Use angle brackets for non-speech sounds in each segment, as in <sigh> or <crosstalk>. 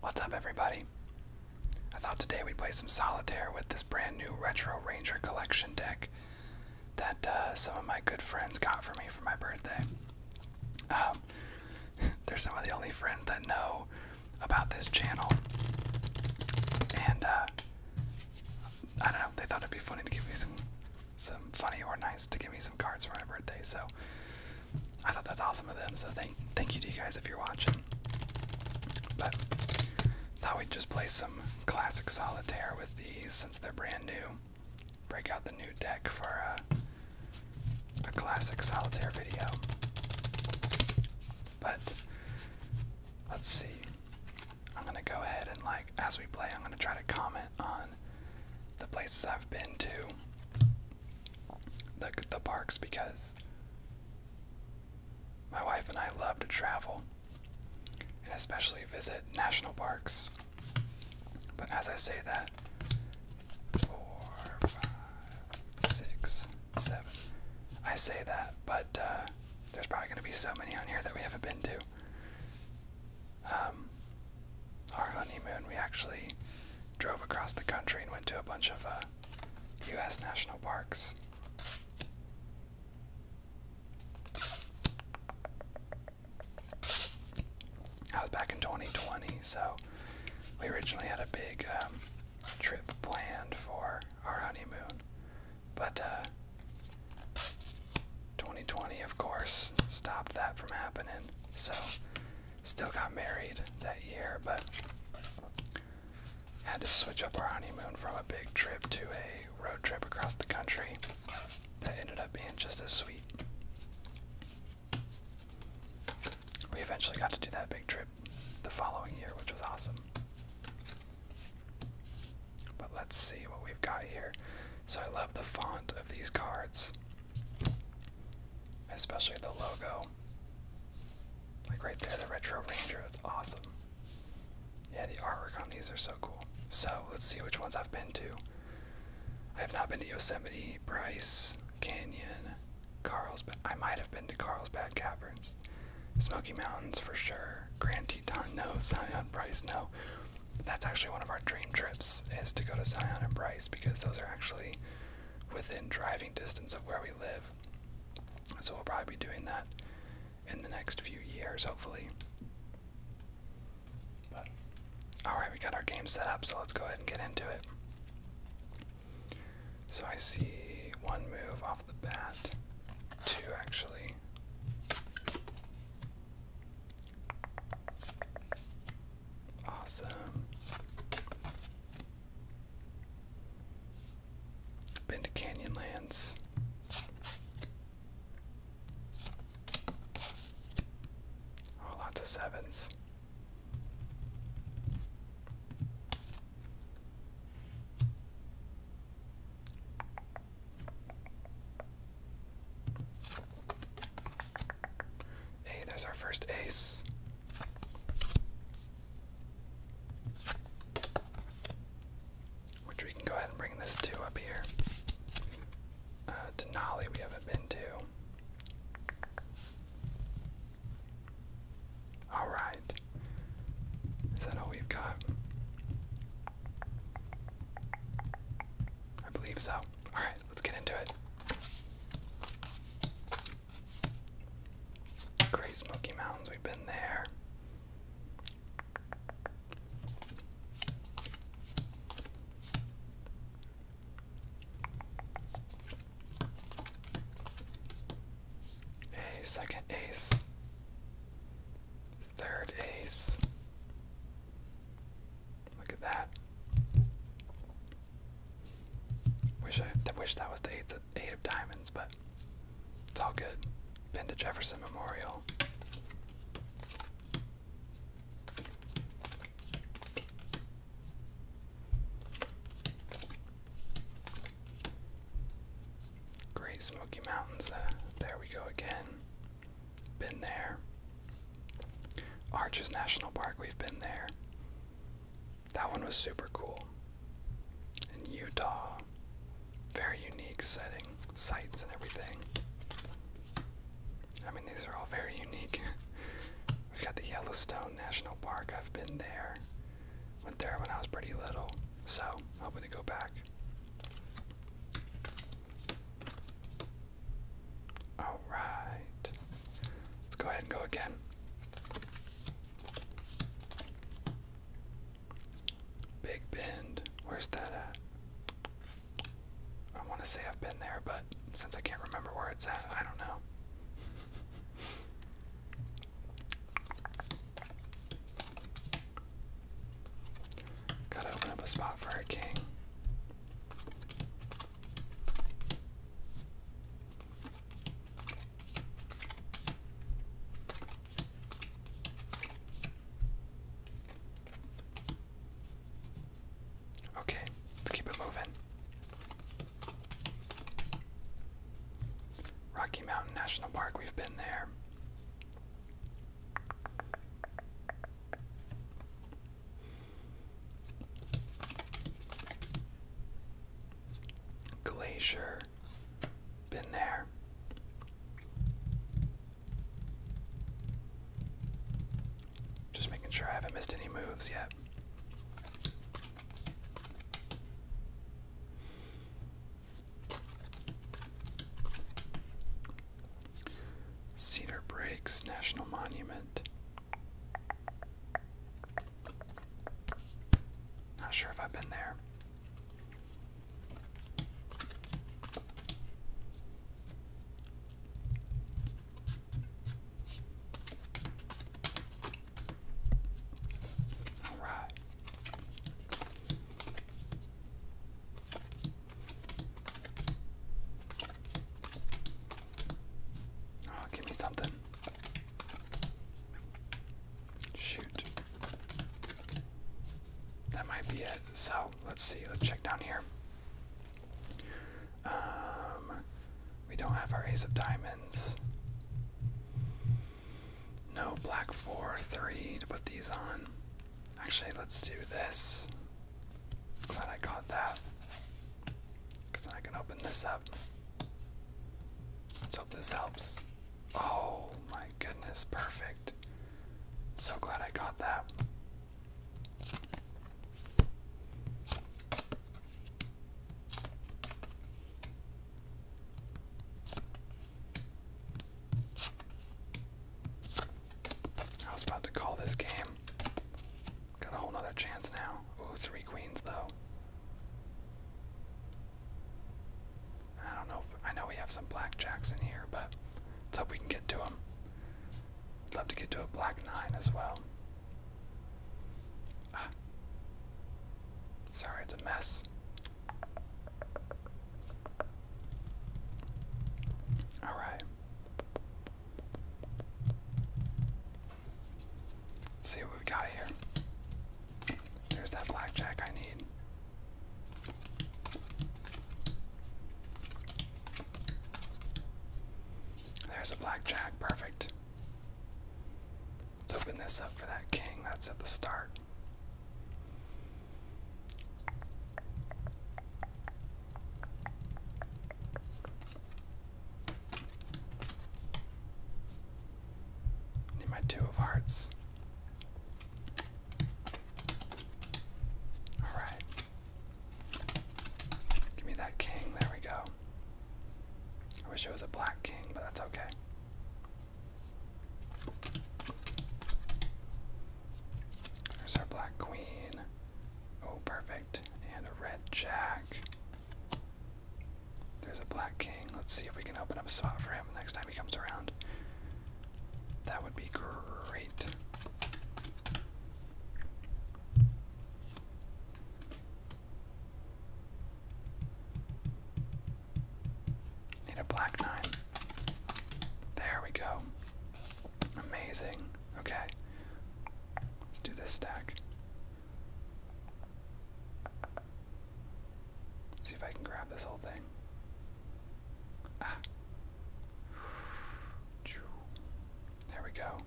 What's up, everybody? I thought today we'd play some solitaire with this brand new Retro Ranger Collection deck that uh, some of my good friends got for me for my birthday. Um, <laughs> they're some of the only friends that know about this channel, and uh, I don't know. They thought it'd be funny to give me some some funny or nice to give me some cards for my birthday. So I thought that's awesome of them. So thank thank you to you guys if you're watching. But thought we'd just play some classic solitaire with these since they're brand new. Break out the new deck for a, uh, a classic solitaire video. But let's see. I'm gonna go ahead and like as we play, I'm gonna try to comment on the places I've been to the the parks because my wife and I love to travel and especially visit national parks. But as I say that, four, five, six, seven. I say that, but uh, there's probably going to be so many on here that we haven't been to. Um, our honeymoon, we actually drove across the country and went to a bunch of U.S. Uh, national parks. I was back in 2020, so we originally had a big um, trip planned for our honeymoon, but 2020, uh, of course, stopped that from happening. So Still got married that year, but had to switch up our honeymoon from a big trip to a road trip across the country. That ended up being just as sweet. We eventually got to do that big trip the following year, which was awesome. But let's see what we've got here. So I love the font of these cards. Especially the logo. Like right there, the Retro Ranger. That's awesome. Yeah, the artwork on these are so cool. So let's see which ones I've been to. I have not been to Yosemite, Bryce, Canyon, Carlsbad. I might have been to Carlsbad Caverns. Smoky Mountains for sure. Grand Teton, <laughs> no. Zion, Bryce, no that's actually one of our dream trips is to go to Zion and Bryce because those are actually within driving distance of where we live. So we'll probably be doing that in the next few years, hopefully. But alright, we got our game set up, so let's go ahead and get into it. So I see one move off the bat. Two actually. Awesome. Been to Canyonlands. Oh, lots of sevens. Hey, there's our first ace. Which we can go ahead and bring this two up here. Uh, Denali, we haven't been to. All right. Is that all we've got? I believe so. All right, Let's get into it. Great Smoky Mountains, we've been there. Hey, second ace. Third ace. Look at that. Wish I, wish that was the eight, of diamonds, but it's all good. Been to Jefferson Memorial. Great Smoky Mountains. Uh, there we go again. Been there. Arches National Park, we've been there. That one was super cool. In Utah. Very unique setting, sights, and everything. I mean, these are all very unique. <laughs> We've got the Yellowstone National Park. I've been there. Went there when I was pretty little, so hoping to go back. All right. Let's go ahead and go again. Big Bend. Where's that at? I want to say I've been there, but since I can't remember where it's at, I don't know. <laughs> Gotta open up a spot for our king. Okay, let's keep it moving. Rocky Mountain National Park, we've been there. Glacier, been there. Just making sure I haven't missed any moves yet. Cedar Breaks National Monument. Not sure if I've been there. All right. Oh, give me something. Shoot. That might be it. So let's see. Let's check down here. Um, we don't have our ace of diamonds. No black four, three to put these on. Actually, let's do this. Glad I got that. Because I can open this up. Let's hope this helps. Oh my goodness, perfect. So glad I got that. I was about to call this game Got a whole nother chance now. Ooh, three queens though. I don't know. If, I know we have some black jacks in here, but let's hope we can get to them. I'd love to get to a black nine as well. Ah. Sorry, it's a mess. All right. Let's see what we got here. There's that blackjack I need. There's a blackjack, perfect. Let's open this up for that king that's at the start. Need my two of hearts. All right. Give me that king. There we go. I wish it was a black king, but that's okay. There's our black queen. Oh, perfect. And a red jack. There's a black king. Let's see if we can open up a spot for him next time he comes around. That would be great. Need a black nine. There we go. Amazing. Okay. Let's do this stack. See if I can grab this whole thing. Ah. There we go.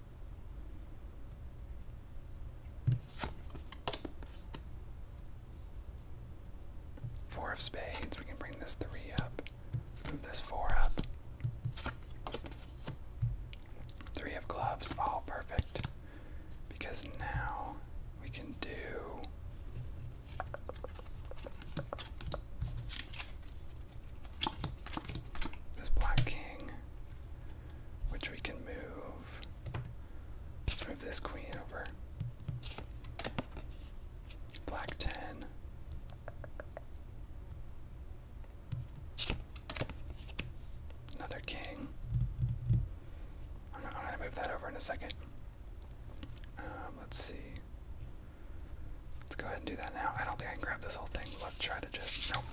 Four of spades, we can bring this three up. Move this four up. Three of clubs, all perfect. Because now we can do. This black king, which we can move. Let's move this queen over. Black 10. Another king. I'm, gonna move that over in a second. Um, let's see. Let's go ahead and do that now. I don't think I can grab this whole thing. Let's try to just nope.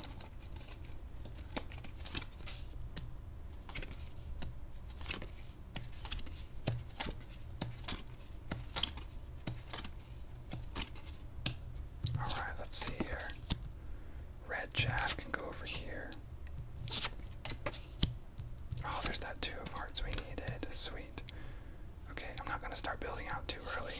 Alright, let's see here. Red Jack can go over here. Oh, there's that two of hearts we needed. Sweet. Okay, I'm not going to start building out too early.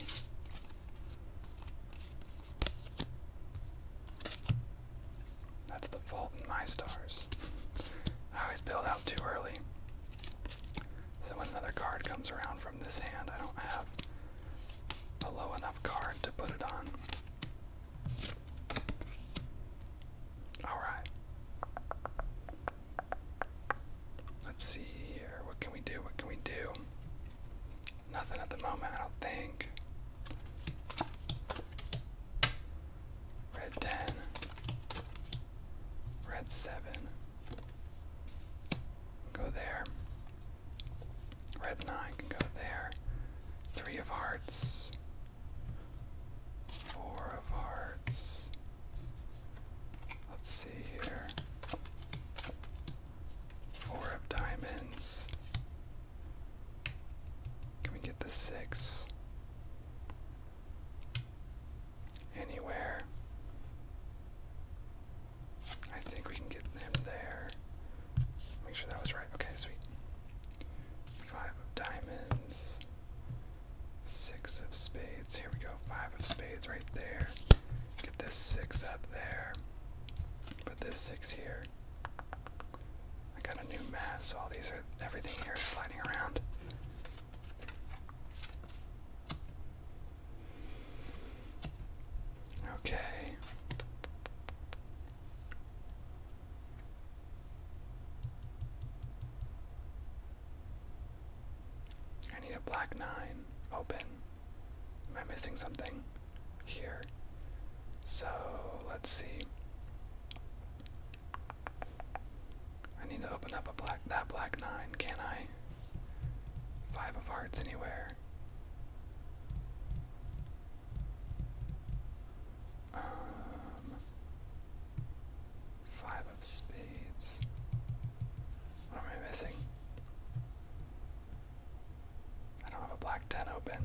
That's the fault in my stars. <laughs> I always build out too early. So when another card comes around from this hand, I don't have a low enough card to put it on. Alright. Let's see here. What can we do? What can we do? Nothing at the moment, I don't think. Red 10. Red 7. Go there. Red nine can go there. Three of hearts. Four of hearts. Let's see here. Four of diamonds. Can we get the six? Anywhere. I think we can get them there. Make sure that was right. Okay, sweet. Five of diamonds. Six of spades. Here we go. Five of spades right there. Get this six up there. Put this six here. I got a new mat, so all these are everything here is sliding around. Okay. I need a black nine open. Am I missing something here? So let's see. I need to open up a black that black nine, can I? Five of hearts anywhere. Um, five of spades. What am I missing? I don't have a black ten open.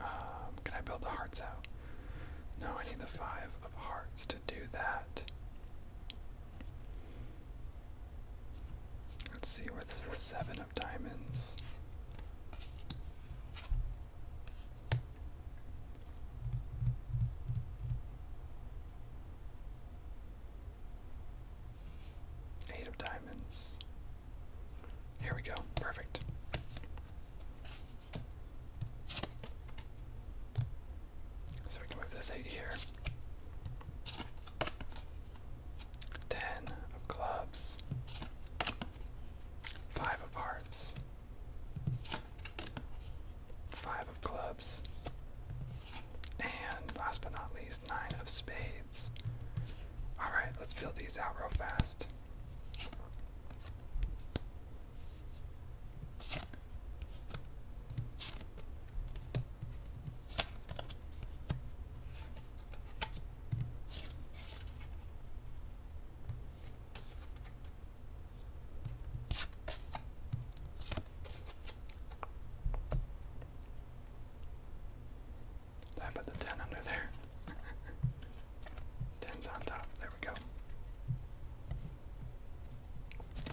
Um, can I build the hearts out? No, I need the five of hearts to do that. Let's see, where this is the seven of diamonds. Eight of diamonds. Here we go. Perfect. So we can move this eight here. Ten of clubs. Five of hearts. Five of clubs. And last but not least, nine of spades. Alright, let's build these out real fast. I put the 10 under there? 10's <laughs> on top. There we go.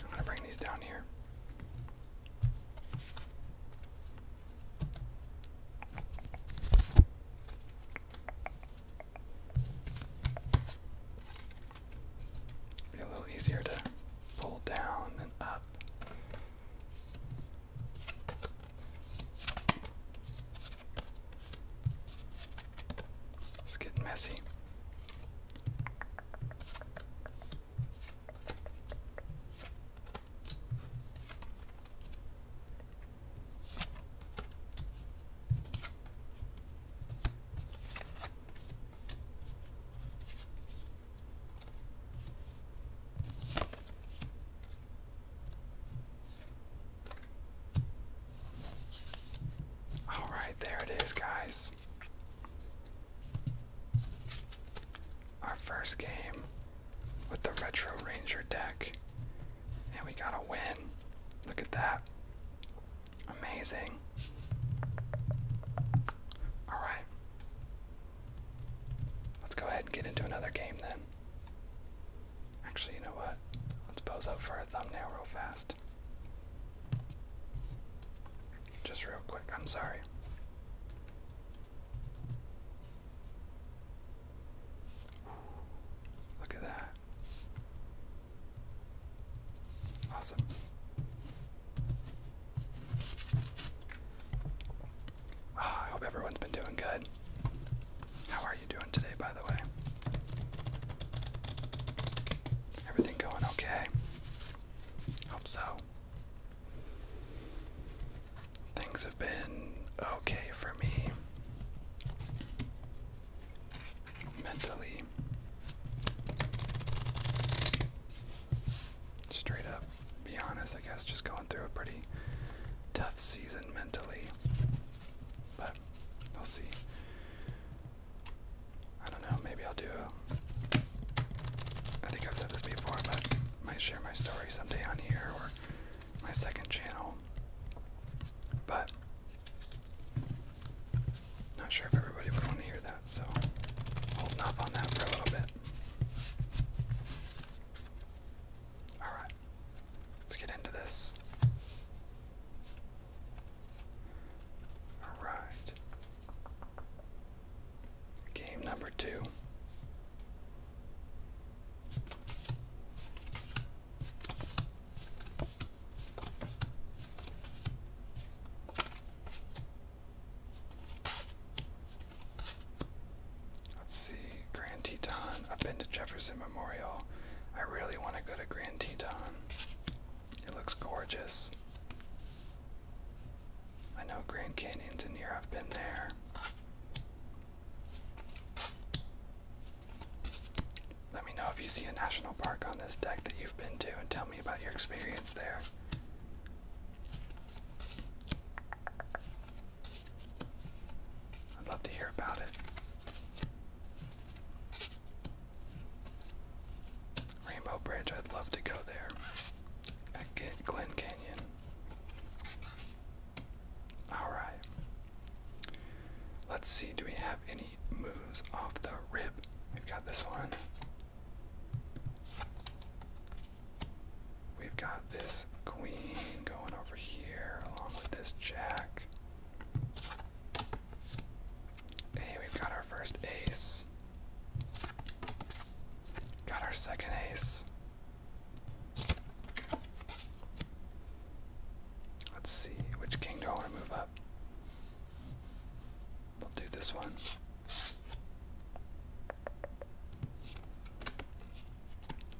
I'm going to bring these down here. Be a little easier to pull down than up. It's getting messy. All right, there it is, guys. Our first game with the Retro Ranger deck. And we got a win. Look at that. Amazing. Alright. Let's go ahead and get into another game then. Actually, you know what? Let's pose up for a thumbnail real fast. Just real quick, I'm sorry. Look at that. Awesome. Oh, I hope everyone's been doing good. How are you doing today, by the way? Everything going okay? Hope so. Things have been okay for me mentally. Straight up be honest, I guess just going through a pretty tough season mentally. But we'll see. I don't know, maybe I'll do a, I think I've said this before, but I might share my story someday on here or my second channel. But not sure if everybody would want to hear that, so holding off on that for a little bit. Alright, let's get into this. Alright. Game number two. Let's see, Grand Teton. I've been to Jefferson Memorial. I really want to go to Grand Teton. It looks gorgeous. I know Grand Canyon's in here, I've been there. Let me know if you see a national park on this deck that you've been to and tell me about your experience there. I'd love to hear about it. Rainbow Bridge, I'd love to go there. At Glen Canyon. Alright. Let's see, do we have any moves off the rib? We've got this one. We've got this queen going over here along with this jack. Hey, we've got our first ace. Got our second ace. Let's see, which king do I want to move up? We'll do this one.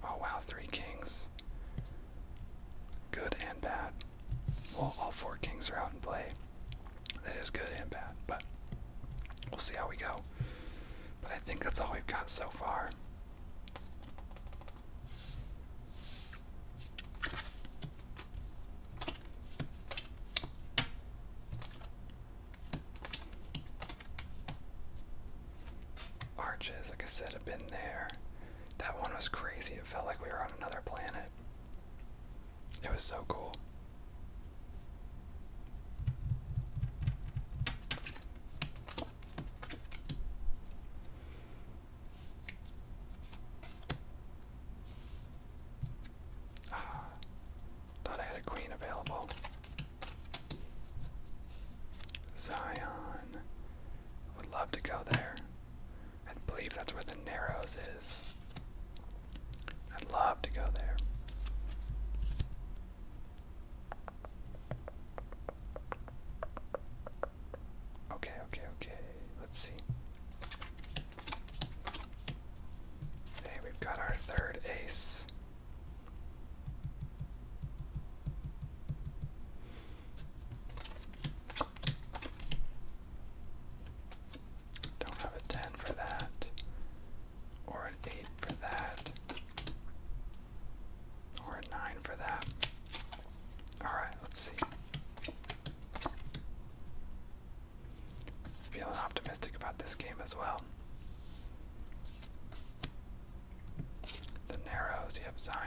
Oh wow, three kings. Good and bad. Well, all four kings are out in play. That is good and bad, but we'll see how we go. But I think that's all we've got so far. Arches, like I said, have been there. That one was crazy. It felt like we were on another planet. It was so cool. Ah, Thought I had a queen available. Zion. Would love to go there. I believe that's where the Narrows is. I'd love to go there. Okay, okay, okay. Let's see. Hey, we've got our third ace. Don't have a 10 for that, or an 8 for that, or a 9 for that. Alright, let's see. Feeling optimistic about this game as well. The Narrows, yep, Zion.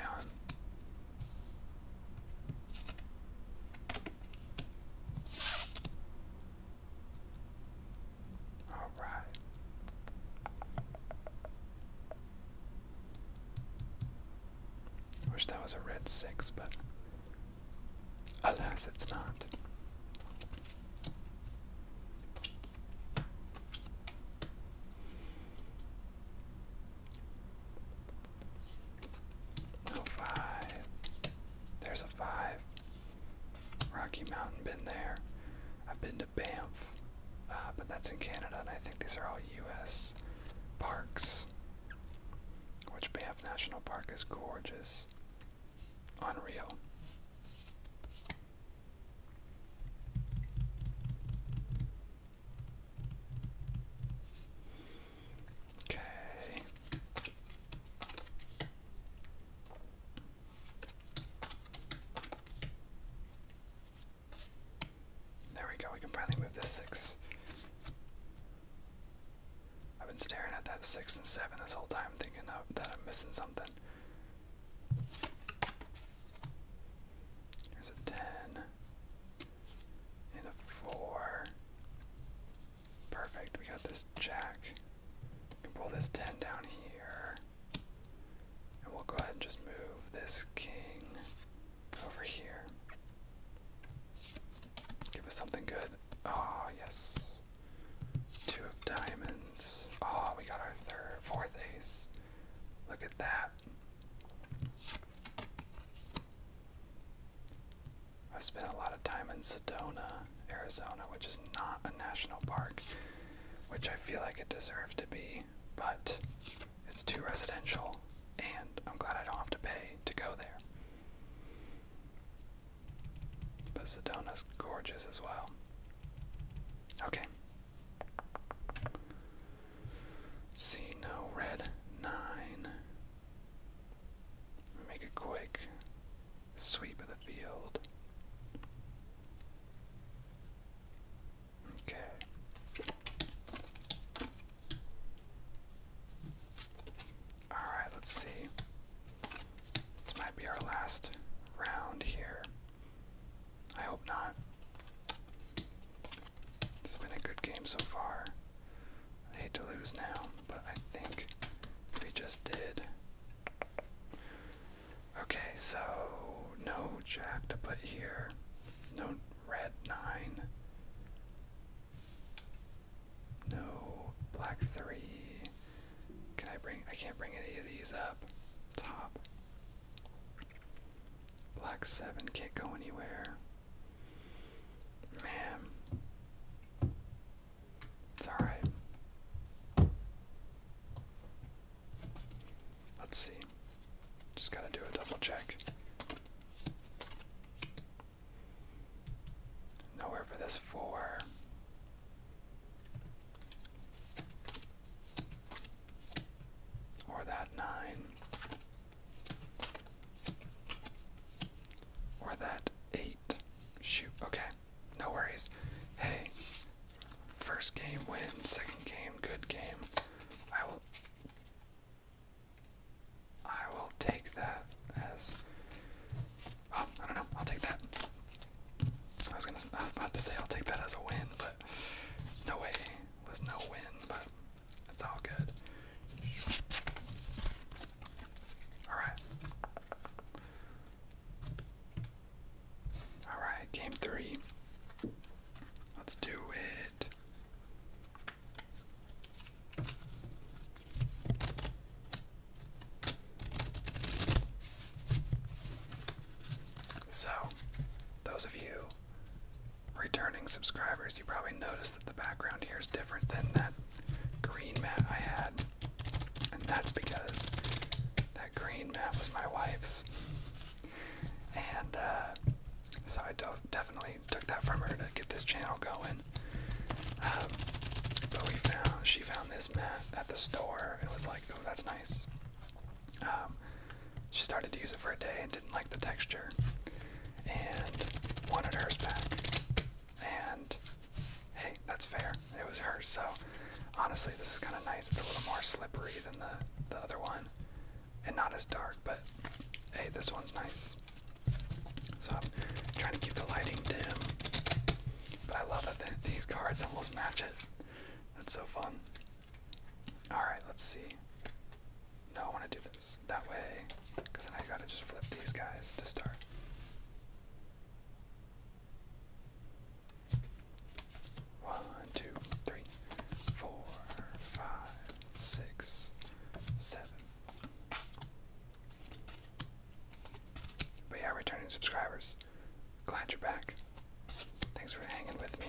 All right. Wish that was a red six, but alas, it's not. Oh, five. There's a five. Rocky Mountain, been there. I've been to Banff, uh, but that's in Canada, and I think these are all U.S. parks. Which Banff National Park is gorgeous. Unreal. Okay. There we go, we can finally move this six. I've been staring at that six and seven this whole time, thinking that I'm missing something. There's a 10 and a 4. Perfect, we got this jack. We pull this 10 down here. And we'll go ahead and just move this king over here. Give us something good. oh, yes. Two of diamonds. Oh, we got our third, fourth ace. Look at that. I spent a lot of time in Sedona, Arizona, which is not a national park, which I feel like it deserved to be, but it's too residential, and I'm glad I don't have to pay to go there. But Sedona's gorgeous as well. Okay. See no red nine. Make a quick sweep of the field. Okay. Alright, let's see. This might be our last round here. I hope not. It's been a good game so far. I hate to lose now, but I think we just did. Okay, so no jack to put here. No red 9. No black 3. Can I bring? I can't bring any of these up. Top. Black 7 can't go anywhere. Man. It's alright. Let's see. Just gotta do a double check. Nowhere for this four. Or that nine. Or that eight. Shoot, okay. No worries. Hey, first game win, second game, good game. I will I will take that as Oh, I don't know. I'll take that. I was gonna. I was about to say I'll take that as a win, but no way it was no win. But it's all good. All right. All right. Game three. Let's do it. So, those of you returning subscribers, you probably noticed that the background here is different than that green mat I had. And that's because that green mat was my wife's. And uh, so I definitely took that from her to get this channel going. Um, but we found she found found this mat at the store it was like, oh, that's nice. Um, she started to use it for a day and didn't like the texture and wanted hers back. And hey, that's fair. It was hers. So honestly, this is kind of nice. It's a little more slippery than the, the other one and not as dark, but hey, this one's nice. So I'm trying to keep the lighting dim but I love that these cards almost match it. That's so fun. Alright, let's see. No, I want to do this that way, because then I gotta just flip these guys to start. One, two, three, four, five, six, seven, but yeah, returning subscribers, glad you're back. Thanks for hanging with me.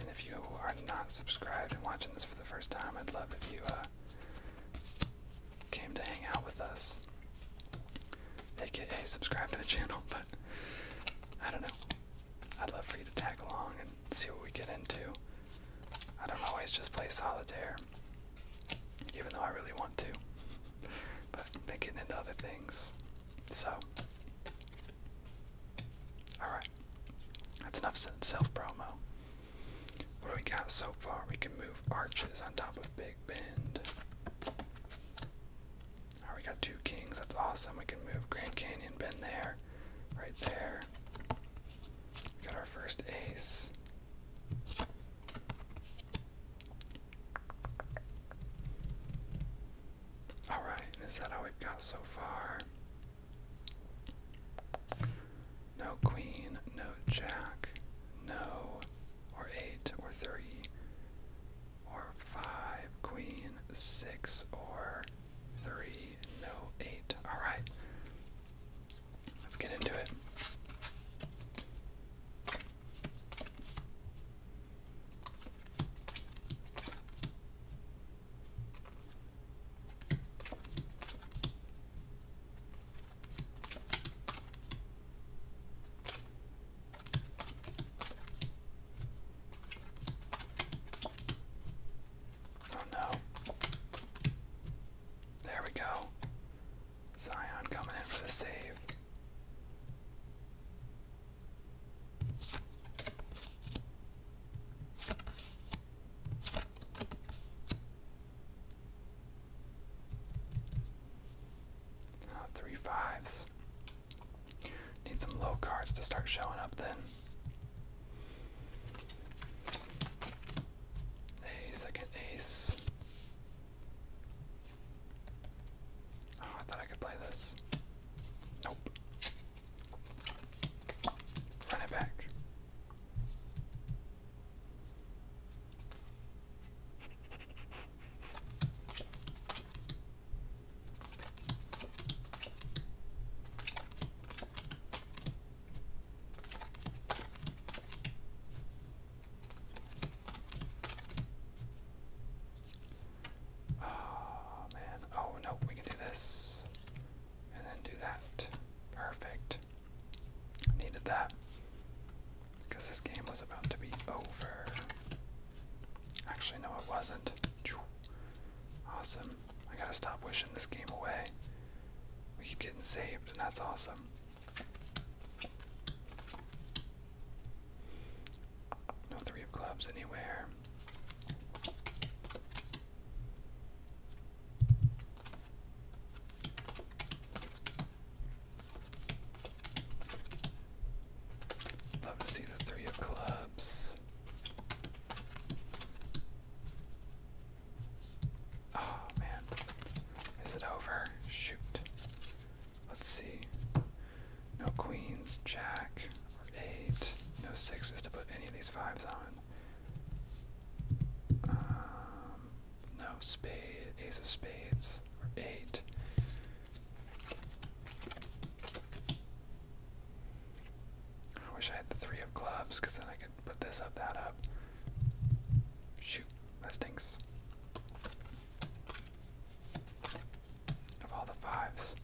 And if you are not subscribed and watching this for the first time, I'd love if you uh, came to hang out with us. AKA subscribe to the channel, <laughs> but I don't know. I'd love for you to tag along and see what we get into. I don't always just play solitaire even though I really want to. <laughs> but I've been getting into other things. So, alright. That's enough self promo. What do we got so far? We can move arches on top of Big Bend. Alright, we got two kings. That's awesome. We can move Grand Canyon Bend there. Right there. We got our first ace. Alright, is that all we've got so far? No queen, no jack, no, or eight, or three, or five, queen, six, or three, no, eight. Alright. Let's get into it. Oh no. There we go. Zion coming in for the save. Oh, three fives. Need some low cards to start showing up then a second ace. Oh, I thought I could play this. Nope. Run it back. Oh man. Oh no, we can do this. And then do that. Perfect. Needed that. Because this game was about to be over. Actually, no, it wasn't. Awesome. I gotta stop wishing this game away. We keep getting saved, and that's awesome. No three of clubs anywhere. Love to see the three of clubs. Oh man. Is it over? Shoot. Let's see. No queens, jack, or eight. No sixes to put any of these fives on. Um, no spade, ace of spades, or eight. I wish I had the three of clubs because then I could put this up, that up. Shoot, that stinks. Of all the fives.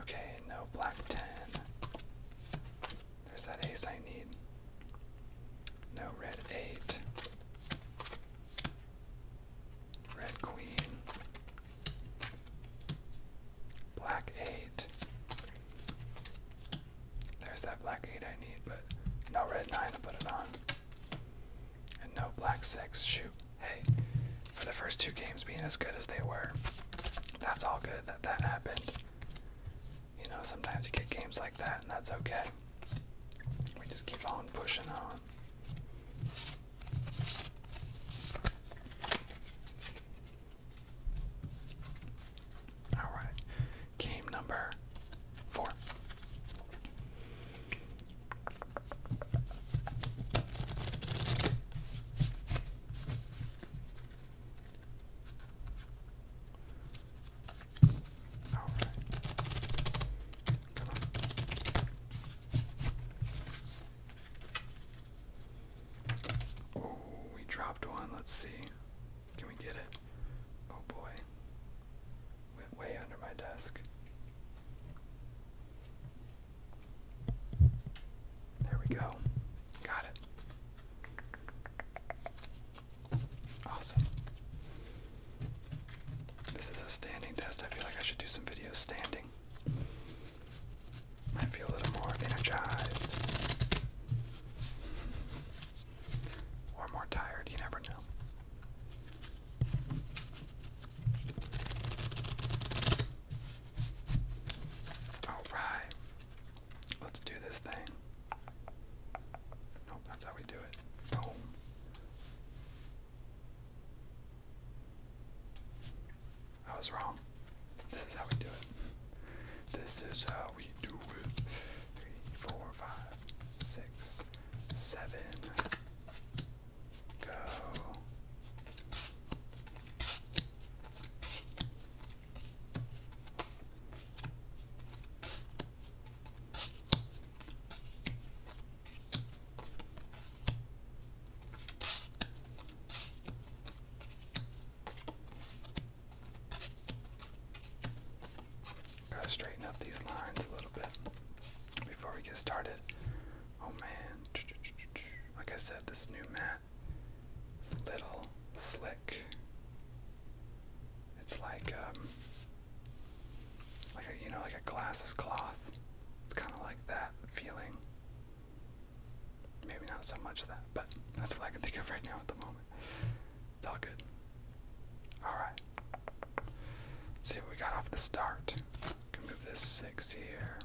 Okay, no black 10. There's that ace I need. No red 8. Red queen. Black 8. There's that black 8 I need, but no red 9 to put it on. And no black 6. Shoot. Hey, for the first two games being as good as they were, that's all good that that happened. You know, sometimes you get games like that, and that's okay. We just keep on pushing on. All right. Game number four. All right. Oh, we dropped one. Let's see. Can we get it? Oh boy. Went way under my desk. There we go. Got it. Awesome. This is a standing desk. I feel like I should do some videos standing. I feel a little more energized. Or more tired, you never know. Alright. Let's do this thing. Nope, that's how we do it. Boom. I was wrong. This is how we do it. This is how we we do it. Three, four, five, six, seven. Go. Gotta straighten up these lines a little bit before we get started. Oh man, like I said, this new mat is a little slick. It's like um, like a, you know, like a glasses cloth. It's kind of like that feeling. Maybe not so much that, but that's what I can think of right now at the moment. It's all good. Alright. Let's see what we got off the start. Can move this six here.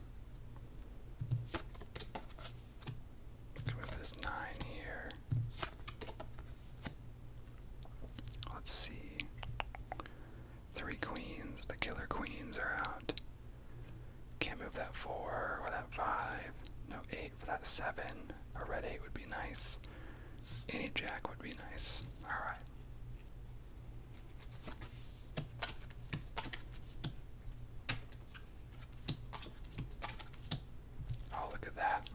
Can move this nine here. Let's see. Three queens. The killer queens are out. Can't move that four or that five. No eight for that 7. A red 8 would be nice. Any jack would be nice. Alright. Oh, look at that.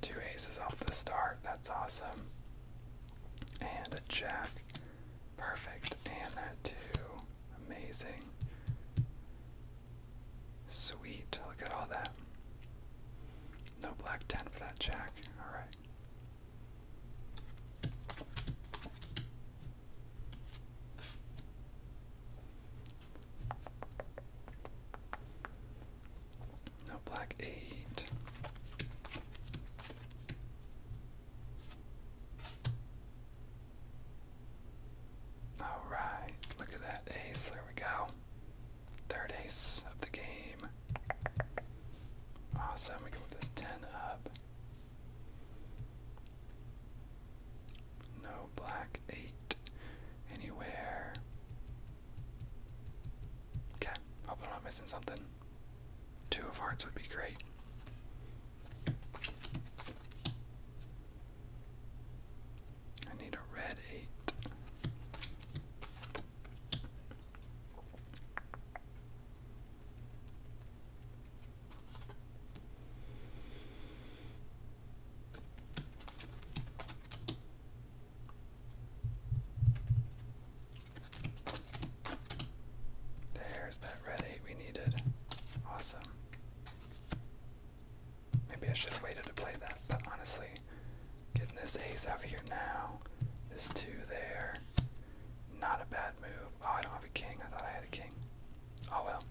Two aces off the start. That's awesome. And a jack. Perfect. And that two. Amazing. Sweet, look at all that. No black 10 for that jack. Alright. No black 8. All right, look at that ace. There we go. Third ace of the game. Awesome. We can move this 10 up. No black 8 anywhere. Okay. Hope I'm not missing something. Two of hearts would be great. I need a red eight. There's that red eight we needed. Awesome. Maybe I should have waited to play that, but honestly, getting this ace out here now, this two there, not a bad move. Oh, I don't have a king. I thought I had a king. Oh well.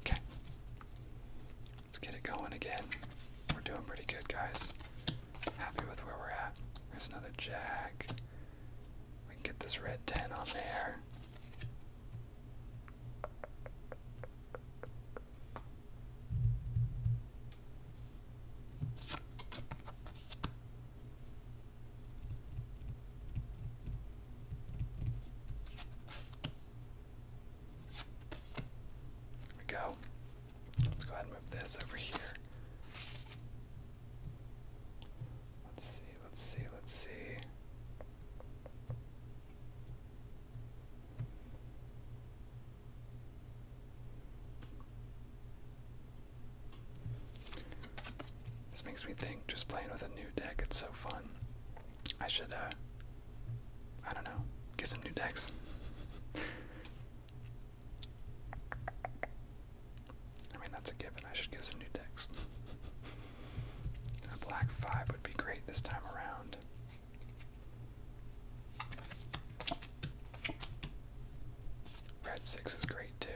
Okay. Let's get it going again. We're doing pretty good, guys. Happy with where we're at. There's another jack. We can get this red 10 on there. There we go. Let's go ahead and move this over here. Let's see, let's see, let's see. This makes me think just playing with a new deck, it's so fun. I should, uh, I don't know, get some new decks. <laughs> I mean, that's a given. I should get some new decks. <laughs> A black 5 would be great this time around. Red 6 is great too.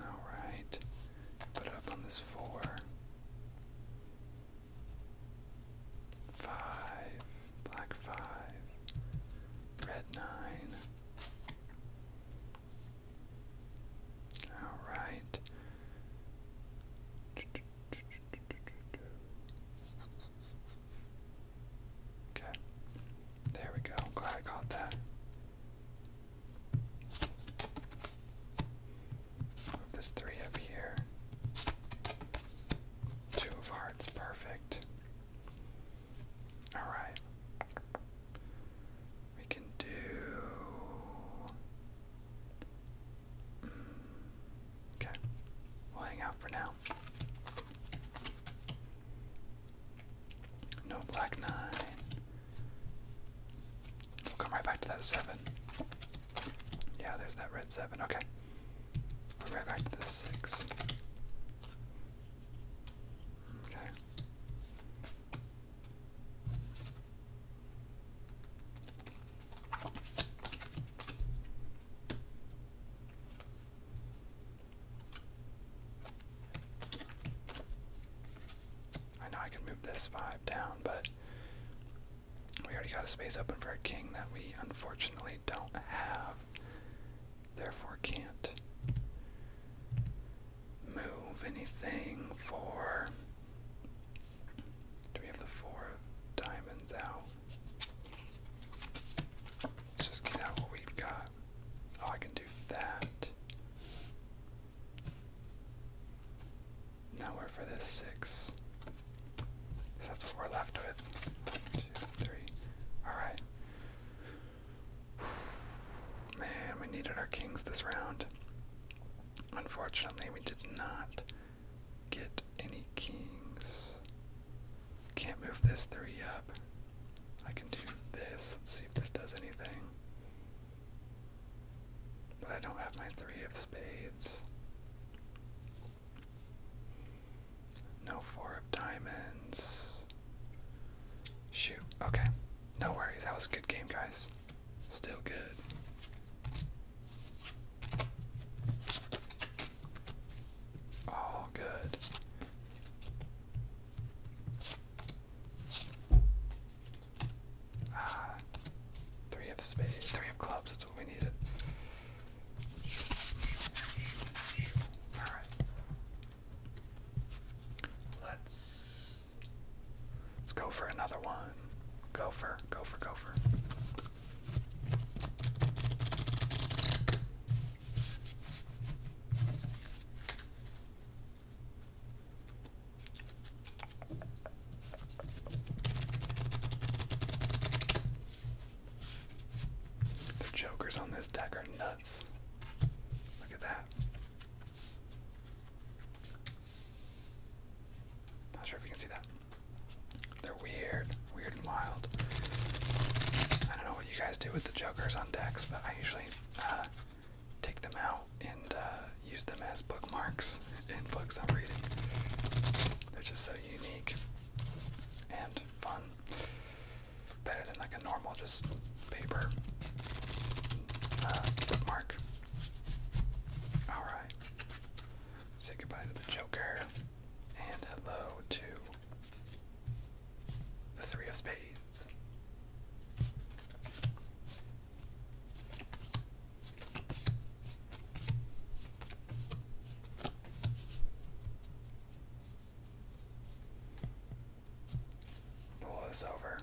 Alright, put up on this 4. Five, black five, red nine. All right. Okay. There we go. I'm glad I caught that. This three up here. Two of hearts, perfect. Alright. We can do. Mm, okay, we'll hang out for now. No black nine. We'll come right back to that seven. Yeah, there's that red seven. Okay. We're right back to the six. Okay. I know I can move this five down, but we already got a space open for a king that we unfortunately don't have, therefore can't move anything for. Do we have the four diamonds out? Let's just get out what we've got. Oh, I can do that. Now we're for this six. that's what we're left with. Two, three. Alright. <sighs> Man, we needed our kings this round. Unfortunately, we did not get any kings. Can't move this three up. I can do this. Let's see if this does anything. But I don't have my three of spades. No four of diamonds. Shoot. Okay. No worries. That was a good game, guys. Still good. All good. Ah, three of spades, three of clubs. That's what we let right. Let's let's go for another one. Go for, go the jokers on this deck are nuts. Look at that. Not sure if you can see that. They're weird, weird and wild. I don't know what you guys do with the jokers on decks, but I usually uh, take them out and uh, use them as bookmarks books I'm reading. They're just so unique and fun. Better than like a normal just paper uh, bookmark. Alright. Say goodbye to the Joker and hello to the Three of Spades. Pull this over.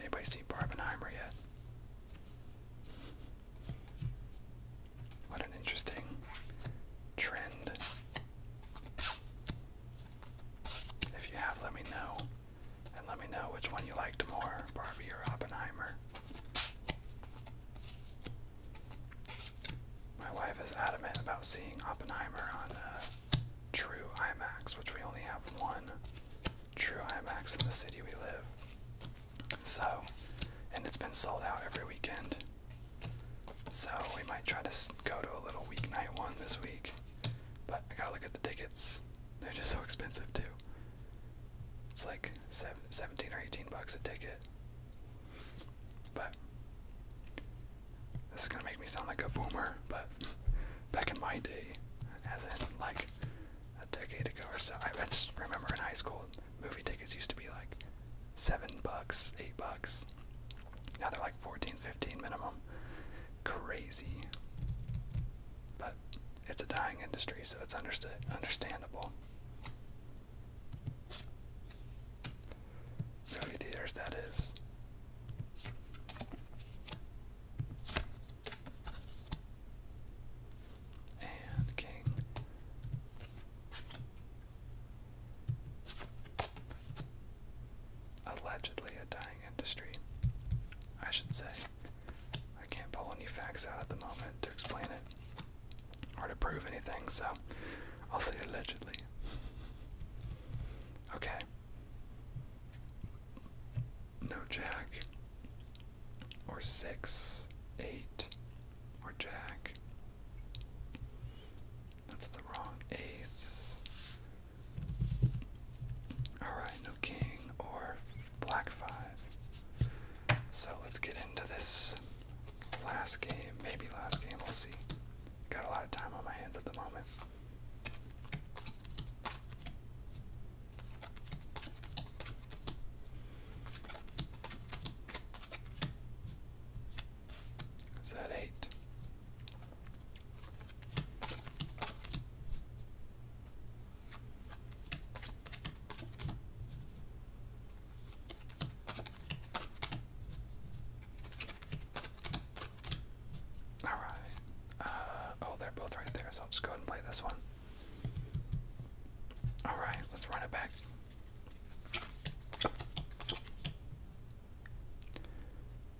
Anybody see Barbenheimer yet? What an interesting trend. If you have, let me know. And let me know which one you liked more, Barbie or Oppenheimer. My wife is adamant about seeing Oppenheimer on uh, True IMAX, which we only have one True IMAX in the city we live. So, and it's been sold out every weekend. So, we might try to go to a little weeknight one this week. But I gotta look at the tickets. They're just so expensive too. It's like 17 or 18 bucks a ticket. But this is gonna make me sound like a boomer, but back in my day, as in like a decade ago or so, I just remember in high school movie tickets used to be like seven bucks, eight bucks. Now they're like. Fourteen, fifteen minimum. Crazy. But it's a dying industry, so it's understood, understandable. Movie theaters, that is. And King allegedly a dying industry, I should say. I can't pull any facts out at the moment to explain it or to prove anything, so I'll say allegedly. Okay. No jack, or six, eight, or jack. That's the wrong ace. Alright, no king or black five. So let's get into this last game. Maybe last game, we'll see. Got a lot of time on my hands at the moment. Is that eight? All right. Uh, oh, they're both right there, so I'll just go ahead and play this one. All right, let's run it back.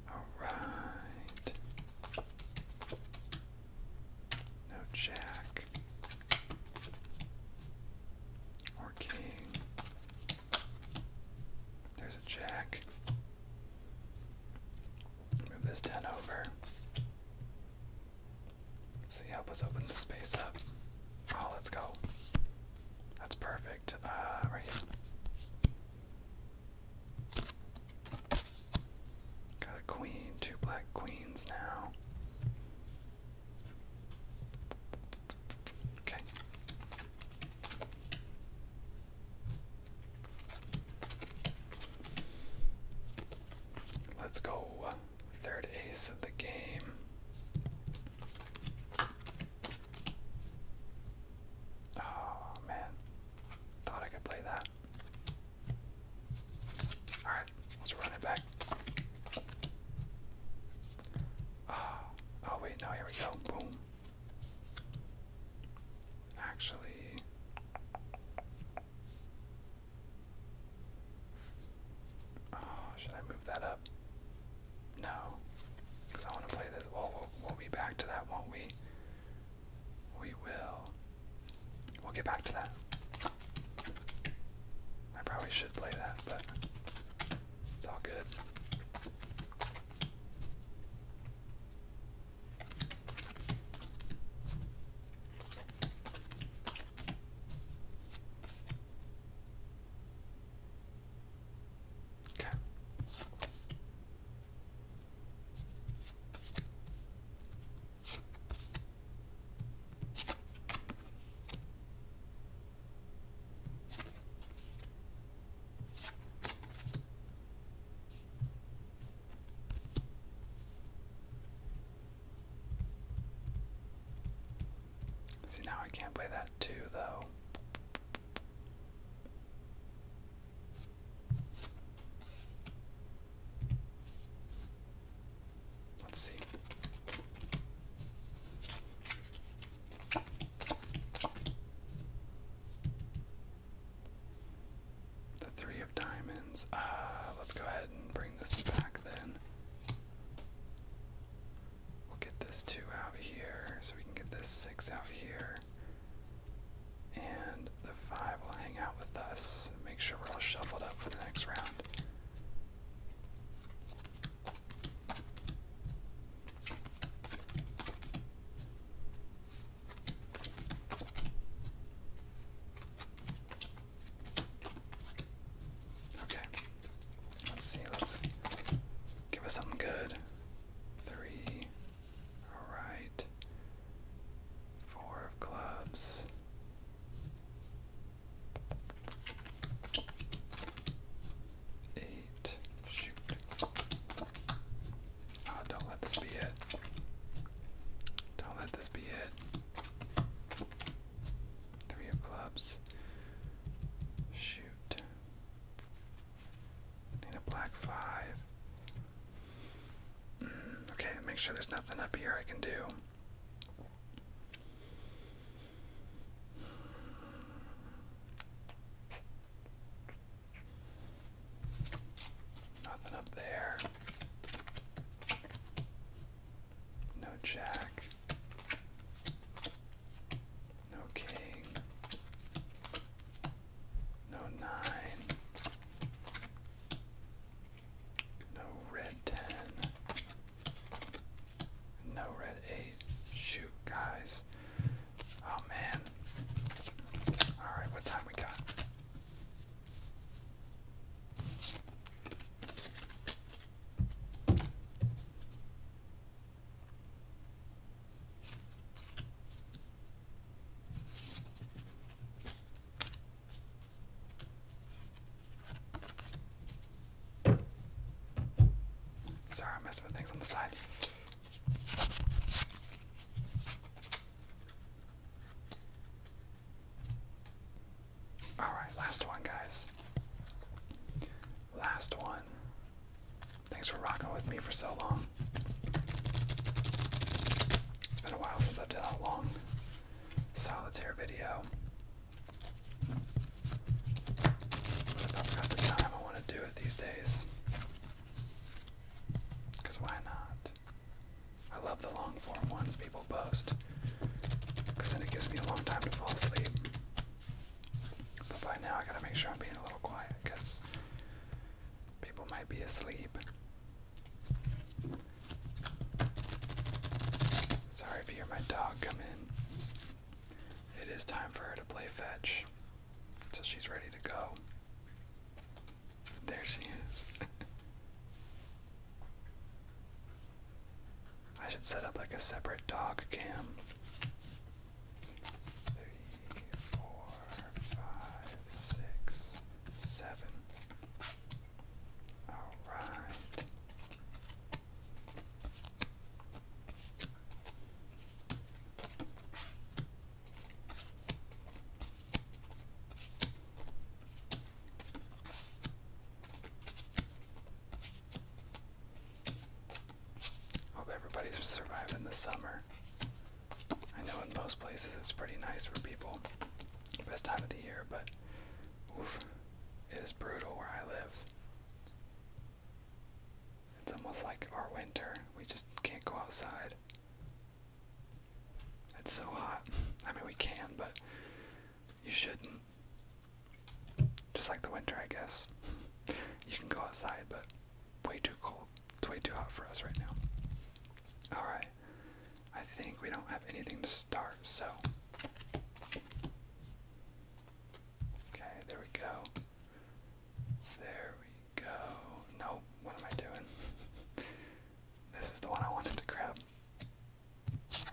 Alright. No jack. Or king. There's a jack. Move this 10 over. Let's see, help us open space up. Oh, let's go. That's perfect. Uh, right here. Got a queen, two black queens now. Okay. Let's go. Third ace of the game. Oh man. Thought I could play that. Alright, let's run it back. Oh, oh wait, no, here we go. Boom. Actually, oh, should I move that up? No, because I want to play this. Well, well, we'll be back to that, won't we? we will. We'll get back to that. I probably should play that, but it's all good. Okay. See, now I can't play that too, though. Let's see. The three of diamonds. Uh, let's go ahead and bring this back then. We'll get this two out here so we can get this six out here. And the five will hang out with us. And make sure we're all shuffled up for the next round. Okay. Let's see. Let's give us something good. Three, Alright. Four of clubs. Eight. Shoot. Ah, don't let this be it. Don't let this be it. Three of clubs. Shoot. Need a black five. Mm, okay, make sure there's nothing up here I can do. Nothing up there. No jack. No king. No nine. No red ten. No red eight. Shoot, guys. Oh man. Alright, what time we got? Sorry, i messed with things on the side. All right, last one, guys. Last one. Thanks for rocking with me for so long. It's been a while since I've done a long solitaire video. But I've the time, I want to do it these days. Because why not? I love the long form ones people post. Because then it gives me a long time to fall asleep. But by now I gotta make sure I'm being a little quiet because People might be asleep. Sorry if you hear my dog come in. It is time for her to play fetch. So she's ready to go. There she is. <laughs> I should set up like a separate dog cam three, four, five, six, seven. All right. Hope everybody's surviving the summer. I know in most places it's pretty nice for people Best time of the year, but oof, it is brutal where I live. It's almost like our winter. We just can't go outside. It's so hot. I mean, we can, but you shouldn't. Just like the winter, I guess. You can go outside, but way too cold. It's way too hot for us right now. Alright. I think we don't have anything to start, so. Okay, there we go. There we go. Nope, what am I doing? <laughs> this is the one I wanted to grab. There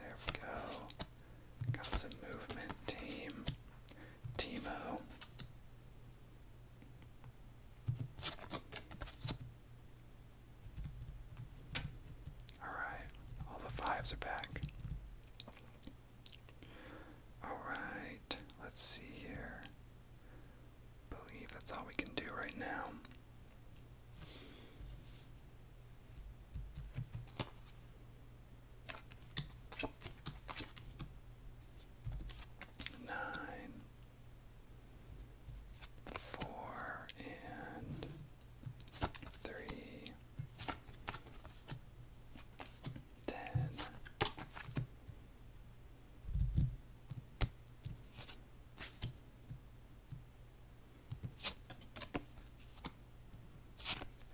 we go. Got some movement, team. Timo. Alright, all the fives are back. Alright, let's see here. Believe that's all we can do right now nine, four, and three, ten.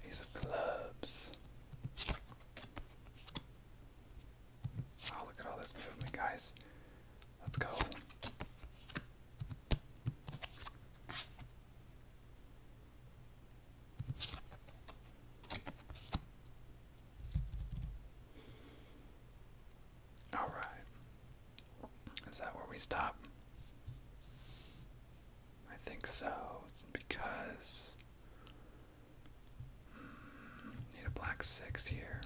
Ace of clubs. Oh, look at all this movement, guys. Let's go. All right. Is that where we stop? I think so. because Need a black six here.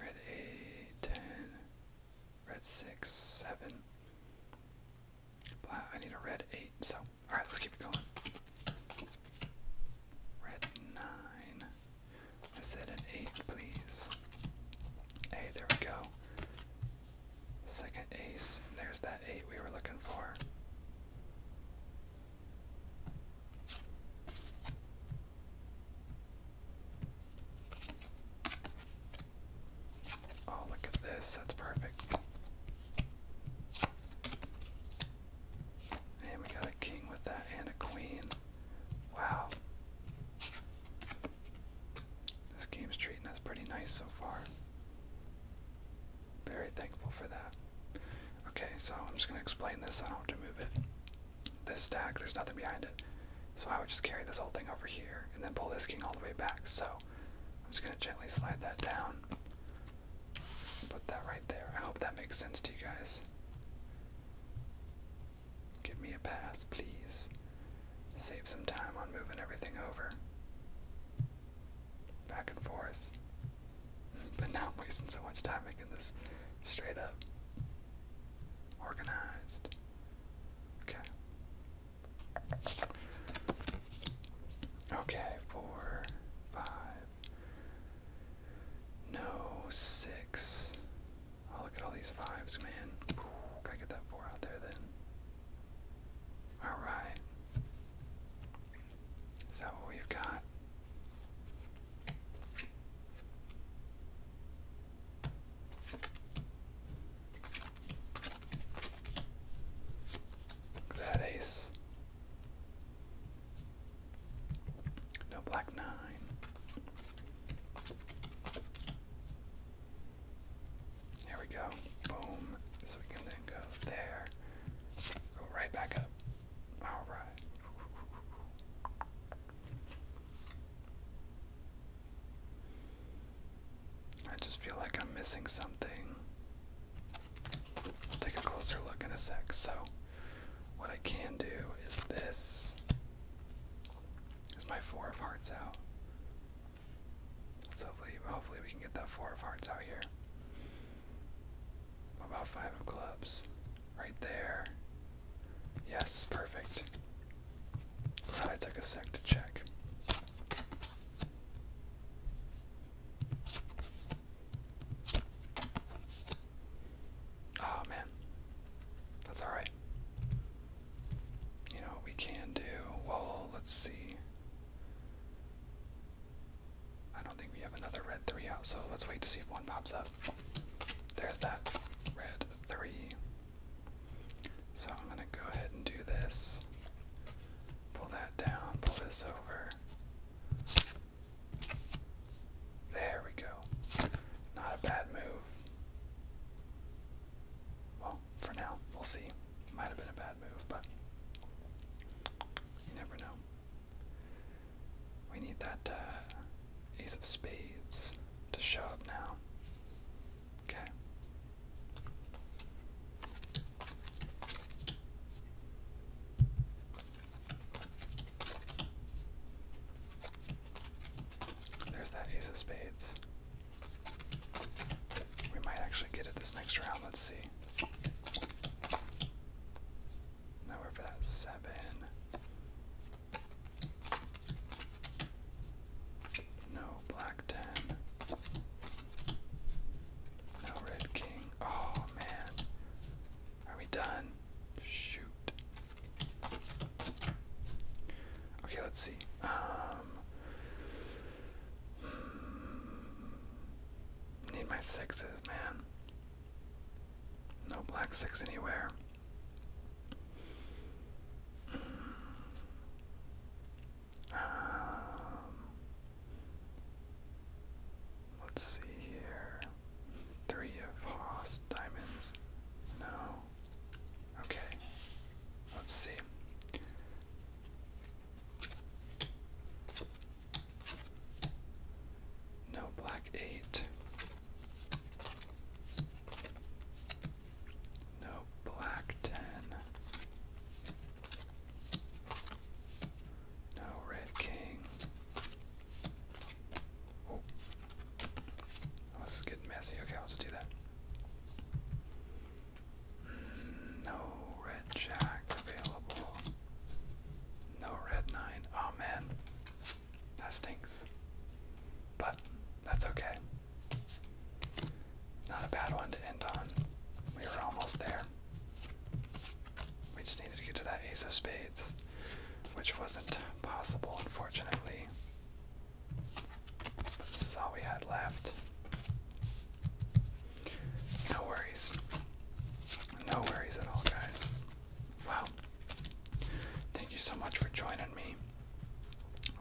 Red eight, ten. Red six, seven. Black. I need a red eight. So, all right, let's keep it going. Red nine. I said an eight, please. Hey, there we go. Second ace. There's that eight we were looking for. Oh, look at this. That's perfect. And we got a king with that and a queen. Wow. This game's treating us pretty nice so far. Very thankful for that. Okay, so I'm just gonna explain this, I don't have to move it. This stack, there's nothing behind it. So I would just carry this whole thing over here and then pull this king all the way back. So I'm just gonna gently slide that down. Put that right there. I hope that makes sense to you guys. Give me a pass, please. Save some time on moving everything over. Back and forth. <laughs> but now I'm wasting so much time making this straight up. Organized. Okay. Okay, four, five. No, six. Oh, look at all these fives, man. Ooh, can get that four out there then? Alright. Is we've got? that ace. No black nine. Here we go. Boom. So we can then go there. Go right back up. Alright. I just feel like I'm missing something. I'll take a closer look in a sec. So, what I can do is this. Is my four of hearts out? Let's hopefully, hopefully we can get that four of hearts out here. What about five of clubs? Right there. Yes, perfect. Glad I took a sec to check. Oh man, that's all right. You know we can do? Well, let's see. I don't think we have another red 3 out, so let's wait to see if one pops up. There's that red 3. So I'm going to go ahead and do this. Pull that down, pull this over. There we go. Not a bad move. Well, for now, we'll see. Might have been a bad move, but you never know. We need that uh, ace of spades to show up now. Okay. There's that ace of spades. We might actually get it this next round. Let's see. Now we for that seven. No black ten. No red king. Oh man. Are we done? Shoot. Okay, let's see. Um, hmm. need my sixes, man. No black six anywhere. Hmm. Um, let's see here. Three of Haas diamonds. No. Okay. Let's see. No black eight. No black ten. No red king. Oh. Oh, this is getting messy. Okay, I'll just do that. Mm, no red jack available. No red nine. Oh man, that stinks. But that's okay. Not a bad one to end on. We were almost there. We just needed to get to that ace of spades, which wasn't possible, unfortunately. This is all we had left. No worries. No worries at all, guys. Wow. Thank you so much for joining me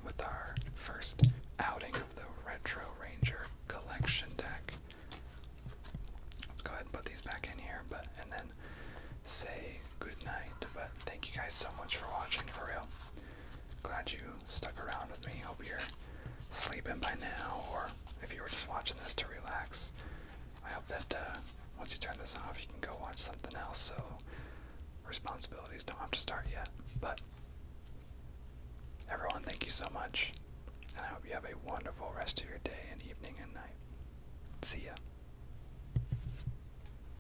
with our first outing of the Retro Ranger collection deck. Let's go ahead and put these back in here but and then say goodnight. But thank you guys so much for watching for real. Glad you stuck around with me. Hope you're sleeping by now, or if you were just watching this to relax. I hope that uh, once you turn this off, you can go watch something else so responsibilities don't have to start yet. But everyone, thank you so much, and I hope you have a wonderful rest of your day and evening and night. See ya.